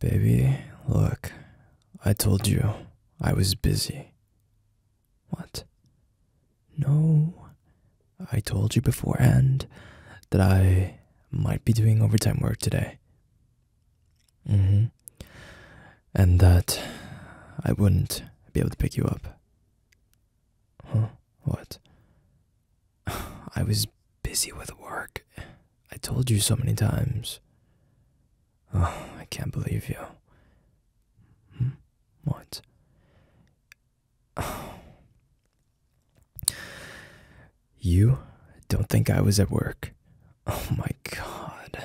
Baby, look, I told you I was busy. What? No, I told you beforehand that I might be doing overtime work today. hmm. And that I wouldn't be able to pick you up. Huh? What? I was busy with work. I told you so many times. Oh, I can't believe you. Hmm? What? You don't think I was at work? Oh my god.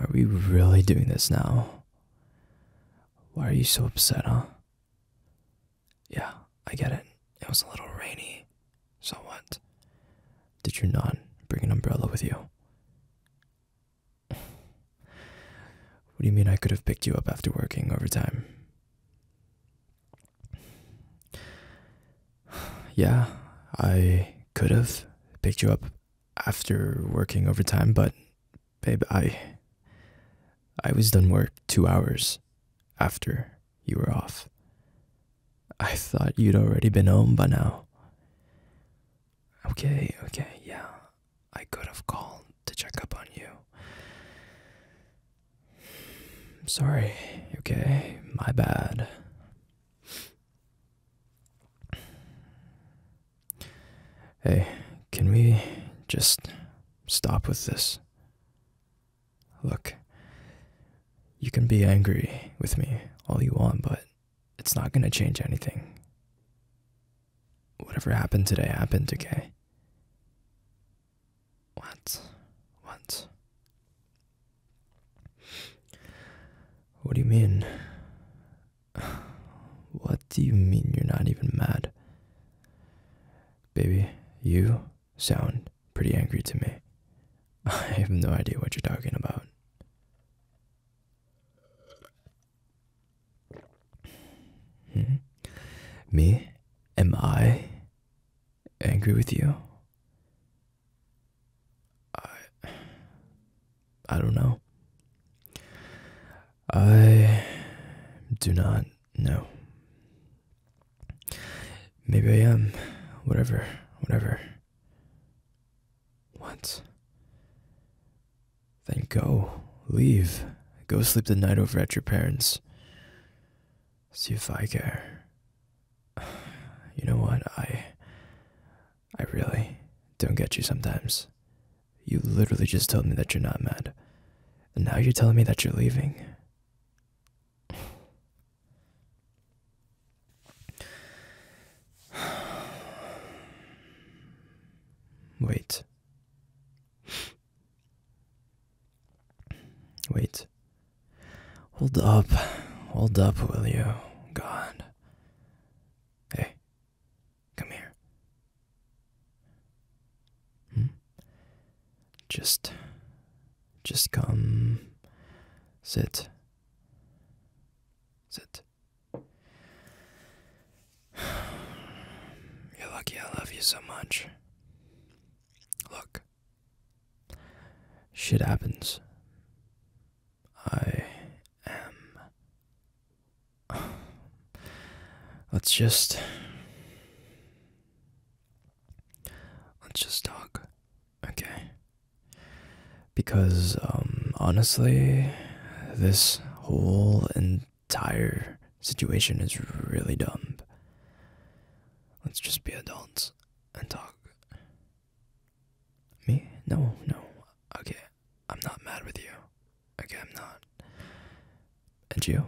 Are we really doing this now? Why are you so upset, huh? Yeah, I get it. It was a little rainy. So what? Did you not bring an umbrella with you? what do you mean I could have picked you up after working overtime? yeah, I could have picked you up after working overtime, but babe, I I was done work two hours after you were off. I thought you'd already been home by now. Okay, okay, yeah. I could have called to check up on you. I'm sorry, okay? My bad. Hey, can we just stop with this? Look, you can be angry with me all you want, but it's not going to change anything. Whatever happened today happened, okay? What? What? What do you mean? What do you mean you're not even mad? Baby, you sound pretty angry to me. I have no idea what you're talking about. Hmm? Me? Am I angry with you? I I don't know. I do not no. Maybe I am. Whatever. Whatever. What? Then go. Leave. Go sleep the night over at your parents. See if I care. You know what? I. I really don't get you sometimes. You literally just told me that you're not mad. And now you're telling me that you're leaving. Wait. Wait. Hold up. Hold up, will you? God. Hey, Come here. Hmm. Just. Just come. Sit. Sit. You're lucky I love you so much. Look. Shit happens. I um, let's just. Let's just talk. Okay. Because, um, honestly, this whole entire situation is really dumb. Let's just be adults and talk. Me? No, no. Okay, I'm not mad with you. Okay, I'm not. a you?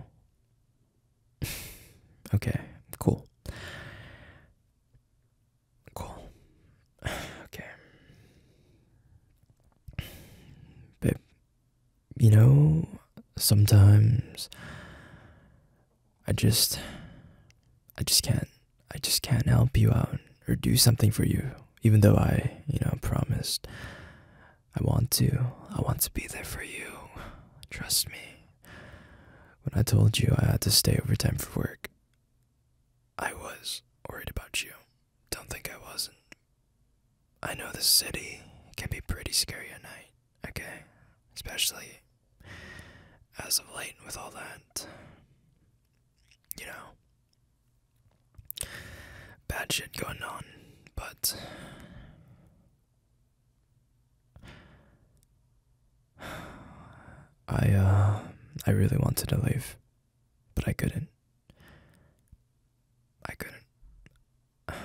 okay, cool. Cool. okay. but you know, sometimes I just. I just can't I just can't help you out or do something for you, even though I, you know, promised. I want to. I want to be there for you. Trust me. When I told you I had to stay overtime for work, I was worried about you. Don't think I wasn't. I know the city can be pretty scary at night, okay? Especially as of late with all that, you know, bad shit going on, but I uh I really wanted to leave, but I couldn't. I couldn't.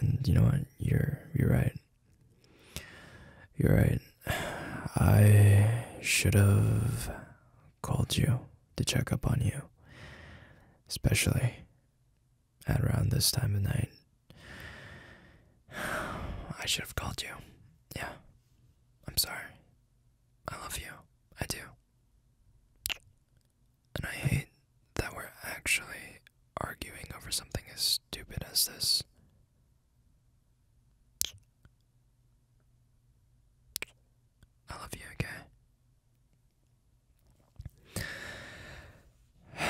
And you know what? You're you're right. You're right. I should have called you to check up on you, especially at around this time of night. I should have called you. Yeah. I'm sorry. I love you. I do. And I hate that we're actually arguing over something as stupid as this. I love you, okay?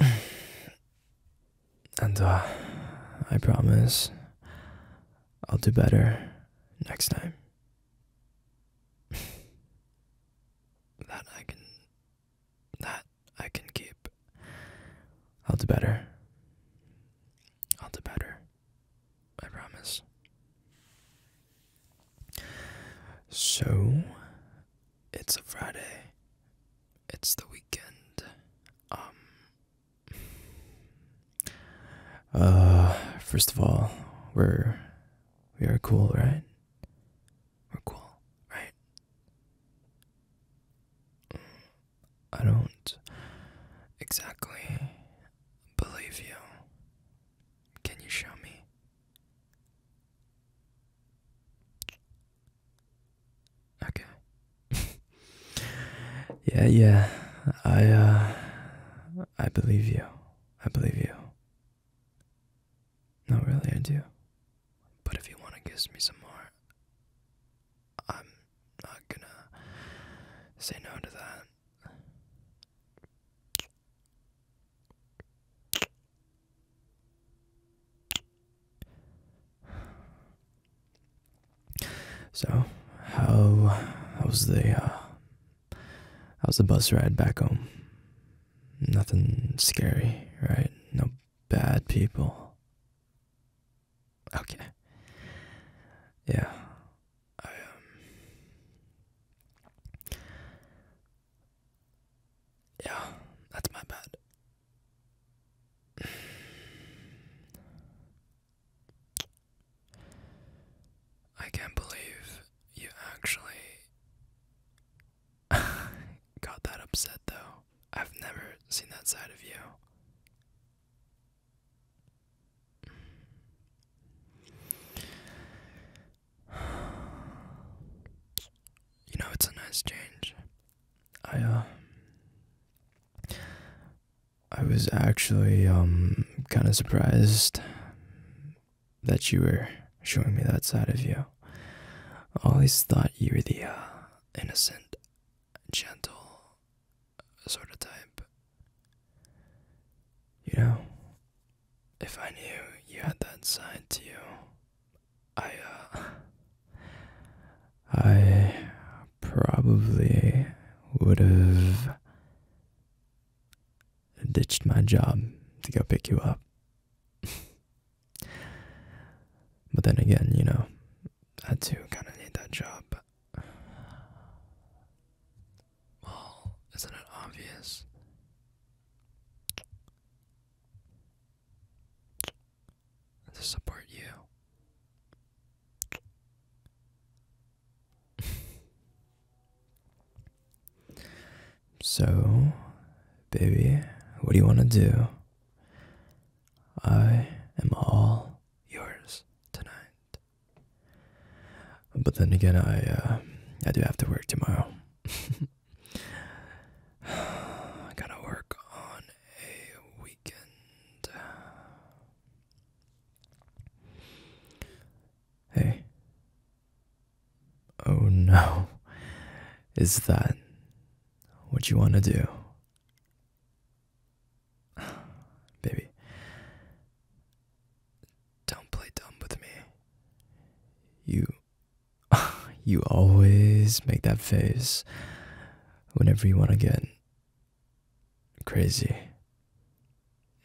And uh, I promise I'll do better next time. that I can that I can keep. I'll do better. I'll do better. I promise. So, it's a Friday. It's the weekend. Um. Uh, first of all, we're we are cool, right? We're cool, right? I don't exactly believe you. Can you show me? Okay. yeah, yeah. I uh I believe you. I believe you. Not really, I do. But if you want to kiss me some more, I'm not gonna say no to that. So, how was the uh, how's the bus ride back home? Nothing scary, right? No bad people. Okay. Yeah. I, um, Yeah, that's my bad. I can't believe you actually Got that upset though. I've never seen that side of you. You know, it's a nice change. I, uh, I was actually, um, kind of surprised that you were showing me that side of you. I always thought you were the uh, innocent, gentle sort of type. You know, if I knew you had that side to you, I, uh, I probably would have ditched my job to go pick you up. but then again, you know, I too kind of need that job. Well, isn't it obvious? To support you. So, baby, what do you want to do? I am all yours tonight. But then again, I uh, I do have to work tomorrow. I gotta work on a weekend. Hey, Oh no, is that what you want to do? Baby, don't play dumb with me. You, you always make that face whenever you want to get crazy.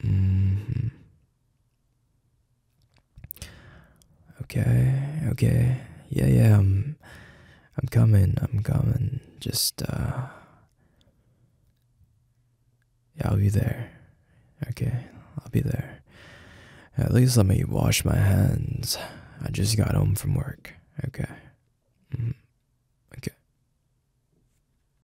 Mm-hmm. Okay, okay. Yeah, yeah, I'm I'm coming, I'm coming. Just uh Yeah, I'll be there. Okay, I'll be there. At least let me wash my hands. I just got home from work. Okay. Mm-hmm. Okay.